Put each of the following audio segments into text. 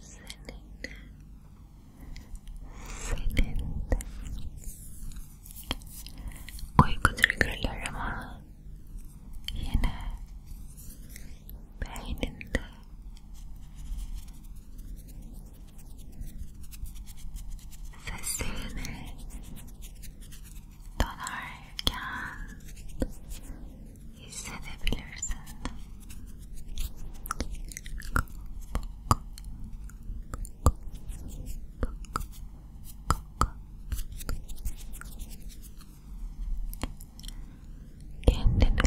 cylinder cylinder uyku triggerlarıma yine beyninde seslerini donarken hissedebilirsin Kendine,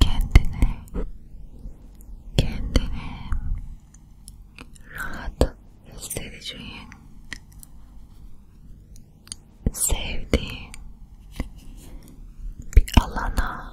kendine, kendine rahat hissedeceğin, sevdiğin bir alana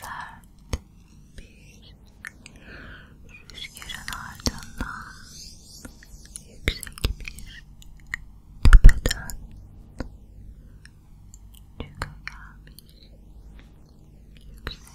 Sert bir rüzgarın ardından yüksek bir tepeden çıka gelmiş yüksek